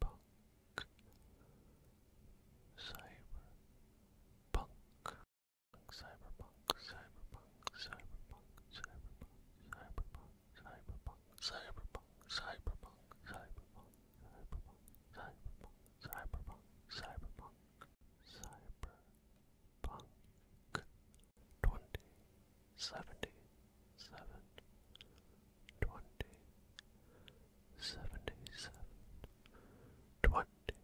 punk, cyberpunk, cyberpunk, cyberpunk, cyberpunk, cyberpunk, cyberpunk, cyberpunk, cyberpunk, cyberpunk, cyberpunk, cyberpunk, cyberpunk, cyberpunk, cyberpunk, twenty seventy seven, twenty, seventy-seven, twenty,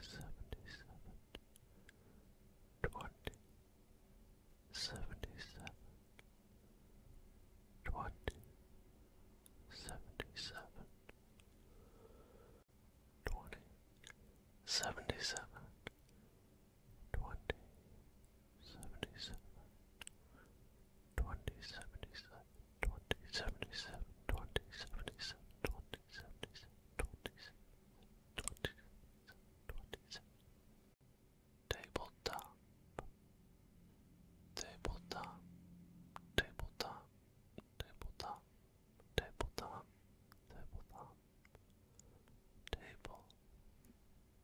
seventy-seven, twenty, seventy-seven, twenty, seventy-seven, twenty, seventy-seven. 20, 77, 20, 77, 20, 77, 20, 77, twenty seventy seven, twenty seventy seven, twenty seventy seven, twenty seventy seven, twenty seventy seven, twenty seventy seven, twenty seven. Tabletop, tabletop, tabletop, tabletop, tabletop, tabletop, table,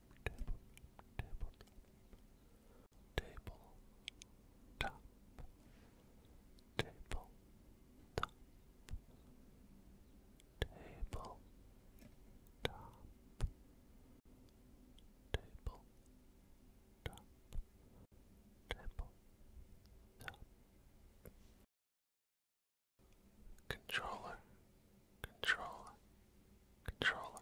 table, table, table, top, table, top, table, top, table, top, table, top. Controller, controller, controller,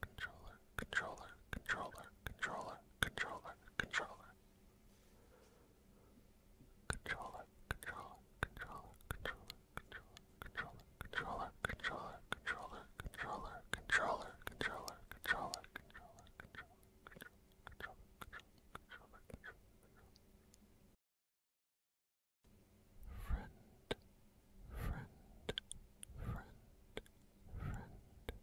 controller, controller, controller, controller, controller, controller. Controller, controller, controller, controller, controller, controller, controller, controller, controller, controller, controller, controller, controller, controller, controller, controller, controller. Friend, friend, friend, friend,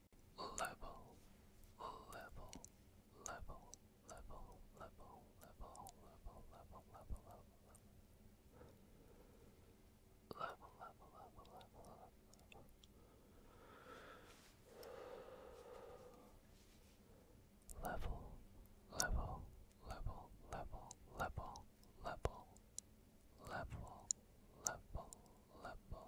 level, level, level, level, level, level, level, level, level, level. Level, level, level, level, level. Level, level, level,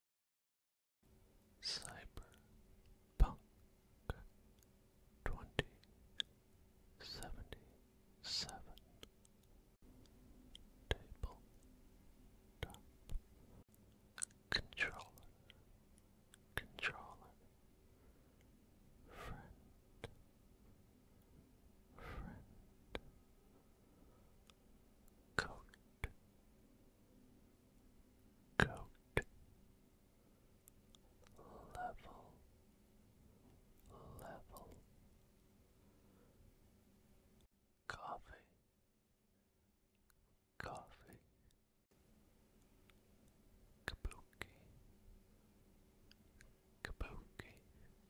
Cyberpunk 2077 Table Top Controller Controller Friend Friend coat, coat, level, level, coffee, coffee, kabuki, kabuki.